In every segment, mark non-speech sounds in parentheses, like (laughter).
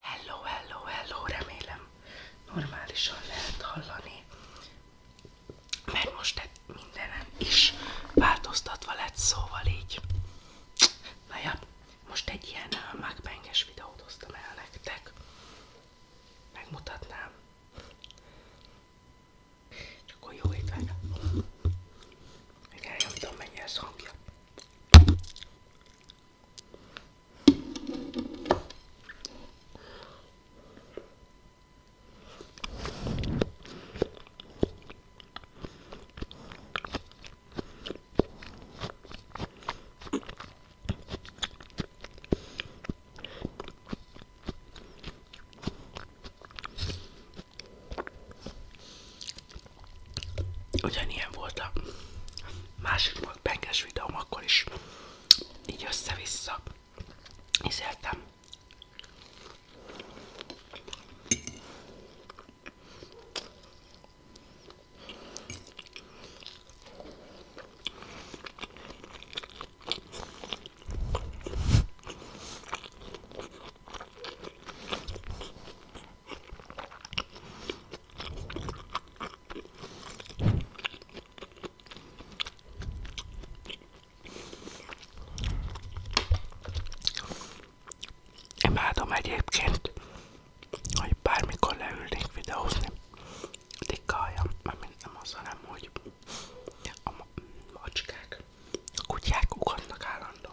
Hello, hello, hello, remélem normálisan lehet hallani, mert most mindenem is változtatva lett, szóval így. Na most egy ilyen mákbenges videót hoztam el nektek, megmutatnám. Csak akkor jó nem tudom mennyi ez hangja. Ugyanilyen volt a másik volt penges videóm, akkor is így össze-vissza ízeltem. Imádom egyébként, hogy bármikor leülnék videózni, tikkaljam, mert nem az, hanem hogy a macskák, a kutyák ugatnak állandóan.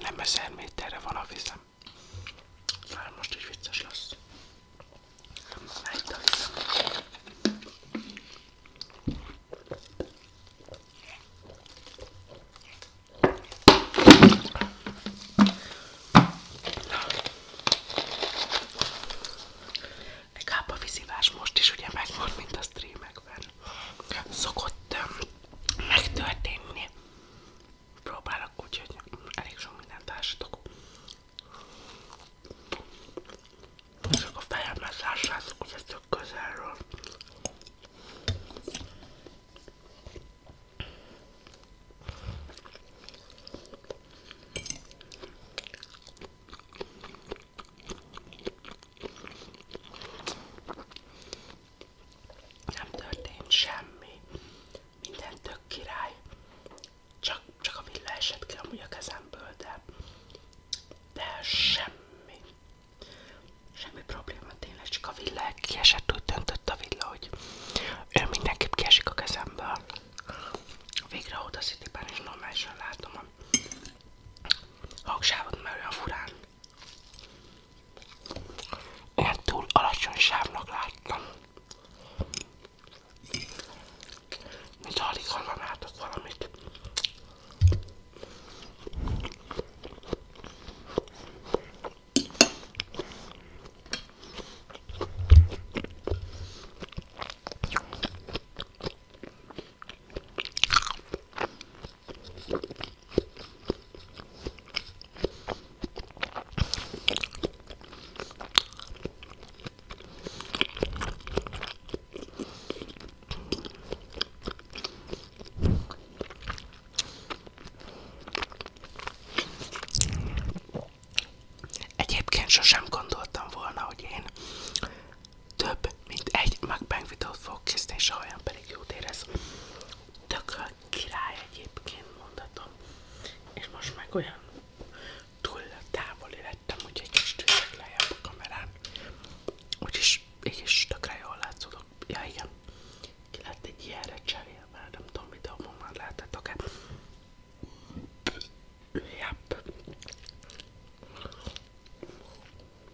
Nem ezer méterre van a vizem. Már most is vicces lesz. Megy a vizem. Inkább a vízivás most is ugye megvan, mint a streamekben szokott megtörténni. Próbálok úgyhogy elég sok mindent ásítok. Csak a fejemhez ássátok, hogy ez tök közelről nem történt semmi, minden tök király, csak, csak a villa esett ki kezemből, de, de semmi, semmi probléma tényleg, csak a villa kiesett, úgy döntött a villa, hogy ő mindenképp kiesik a kezemből. Végre a Cityben is normálisan látom a hangsávot, mert olyan furán én túl alacsony sávnak láttam. Mint alig hallanátok valamit. Egyébként sosem gondoltam volna, hogy én több mint egy mukbang videót fogok készíteni, és a hajam pedig jót érez tököl király egyébként mondhatom, és most meg olyan túl távoli lettem, hogy egy kis tűzök lejjebb a kamerán, úgyis így is tökre jól látszódok. Ja igen, ki lett egy ilyenre cserélve, nem tudom videóban már láttátok-e. Yep.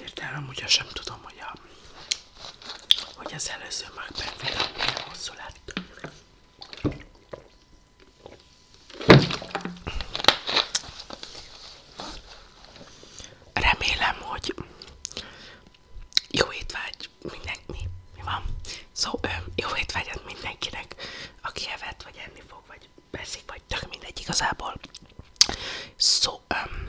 Értelem, ugye sem tudom, hogy, a, hogy az előző már benfedem milyen hosszú lett. Remélem, hogy jó étvágy mindenki, mi van? Szóval jó étvágyat mindenkinek, aki evett, vagy enni vagy vagy perszik, vagy tök mindegy igazából. Szó, so, um,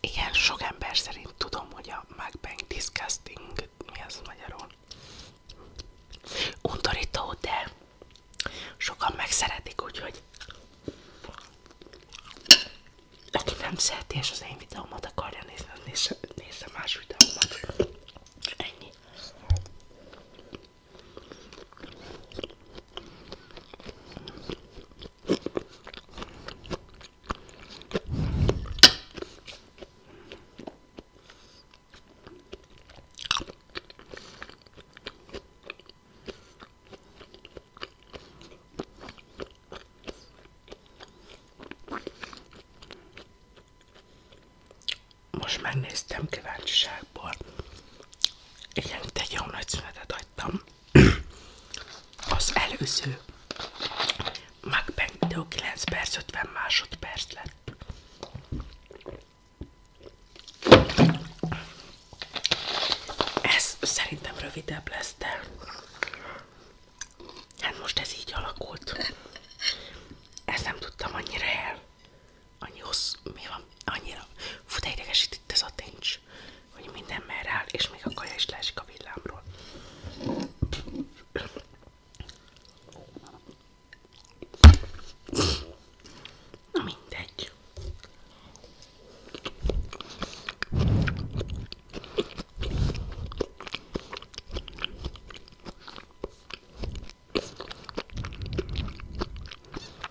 igen, sok ember szerint tudom, hogy a Macbank Disgusting, mi az magyarul, undorító, de sokan megszeretik, úgyhogy aki nem szereti és az én videómat akarja nézni, nézze, nézze más videómat. Most megnéztem kíváncsiságból igen, itt egy jó nagy szünetet adtam. Az előző MacBang 9 perc 50 másodperc lett. Ez szerintem rövidebb lesz, de hát most ez így alakult. Ezt nem tudtam annyira el annyi hossz, mi van, annyira, fú, de idegesít itt ez a tincs, hogy minden merre áll, és még a kaja is leesik a villámról. Na mindegy.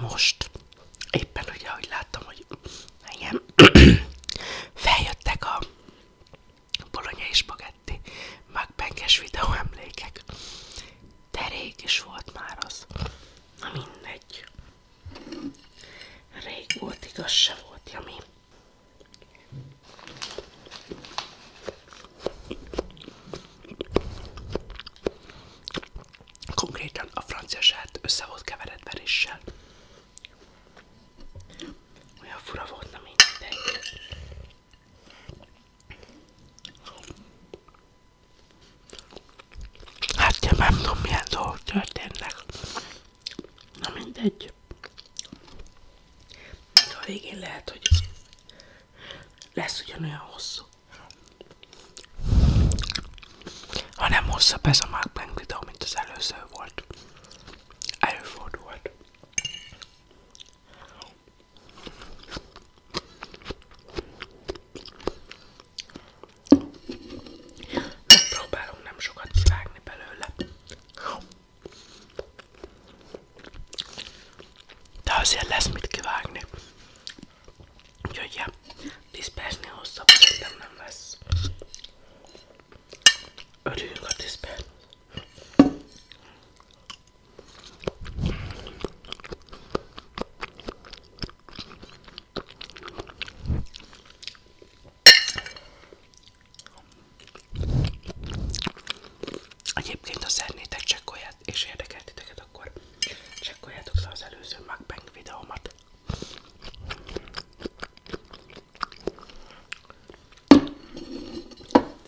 Most éppen ugye, ahogy láttam, hogy igen, (clears throat) feljöttek a és bagetti, magbenkes videó emlékek. De rég is volt már az. Na mindegy. Rég volt, igaz se volt, Jami. Konkrétan a francia saját össze volt keveredve verissel. Olyan fura volt, na mindegy. Hát én nem tudom milyen dolgok történnek. Na mindegy. Még a végén lehet, hogy lesz ugyanolyan hosszú hanem hosszabb ez a Mukbang videó, mint az előző volt. Előfordult. Megpróbálunk nem sokat kivágni belőle. De azért lesz mit kivágni. Úgyhogy ja, 10 percnél hosszabb szerintem nem lesz. Örüljünk a 10 perc. Egyébként, ha szeretnétek csekkolját és érdekelt titeket, akkor csekkoljátok le az előző MacBank videómat.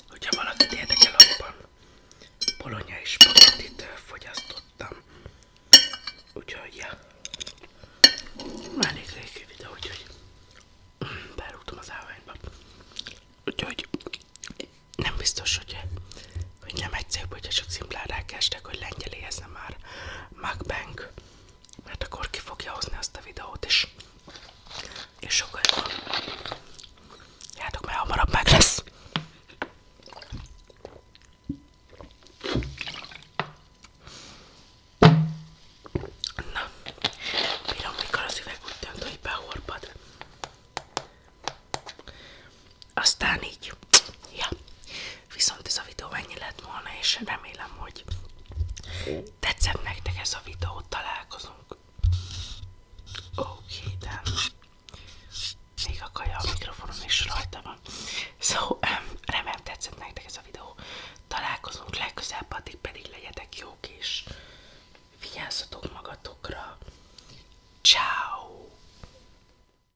Hogyha valakit érdekel, abban bolonyai spagettit fogyasztottam. Úgyhogy, ja. Már elég régi videó, úgyhogy berúgtam az állványba. Úgyhogy nem biztos, hogy hogy nem egyszerűbb, hogyha csak szimplán rákerestek, hogy lengyelihez már Macbank, mert akkor ki fogja hozni azt a videót is. És sokkal jobban. Játok, mert hamarabb meg lesz. Na, bírom, mikor az üveg úgy dönt, hogy behorpad. Aztán így, ja. Viszont ez a videó ennyi lett volna, és remélem, hogy tetszett nektek ez a videó, találkozunk. Oké, okay, de még a kaja a mikrofonom is rajta van. Szóval remélem tetszett nektek ez a videó. Találkozunk legközelebb, addig pedig legyetek jók és vigyázzatok magatokra. Ciao.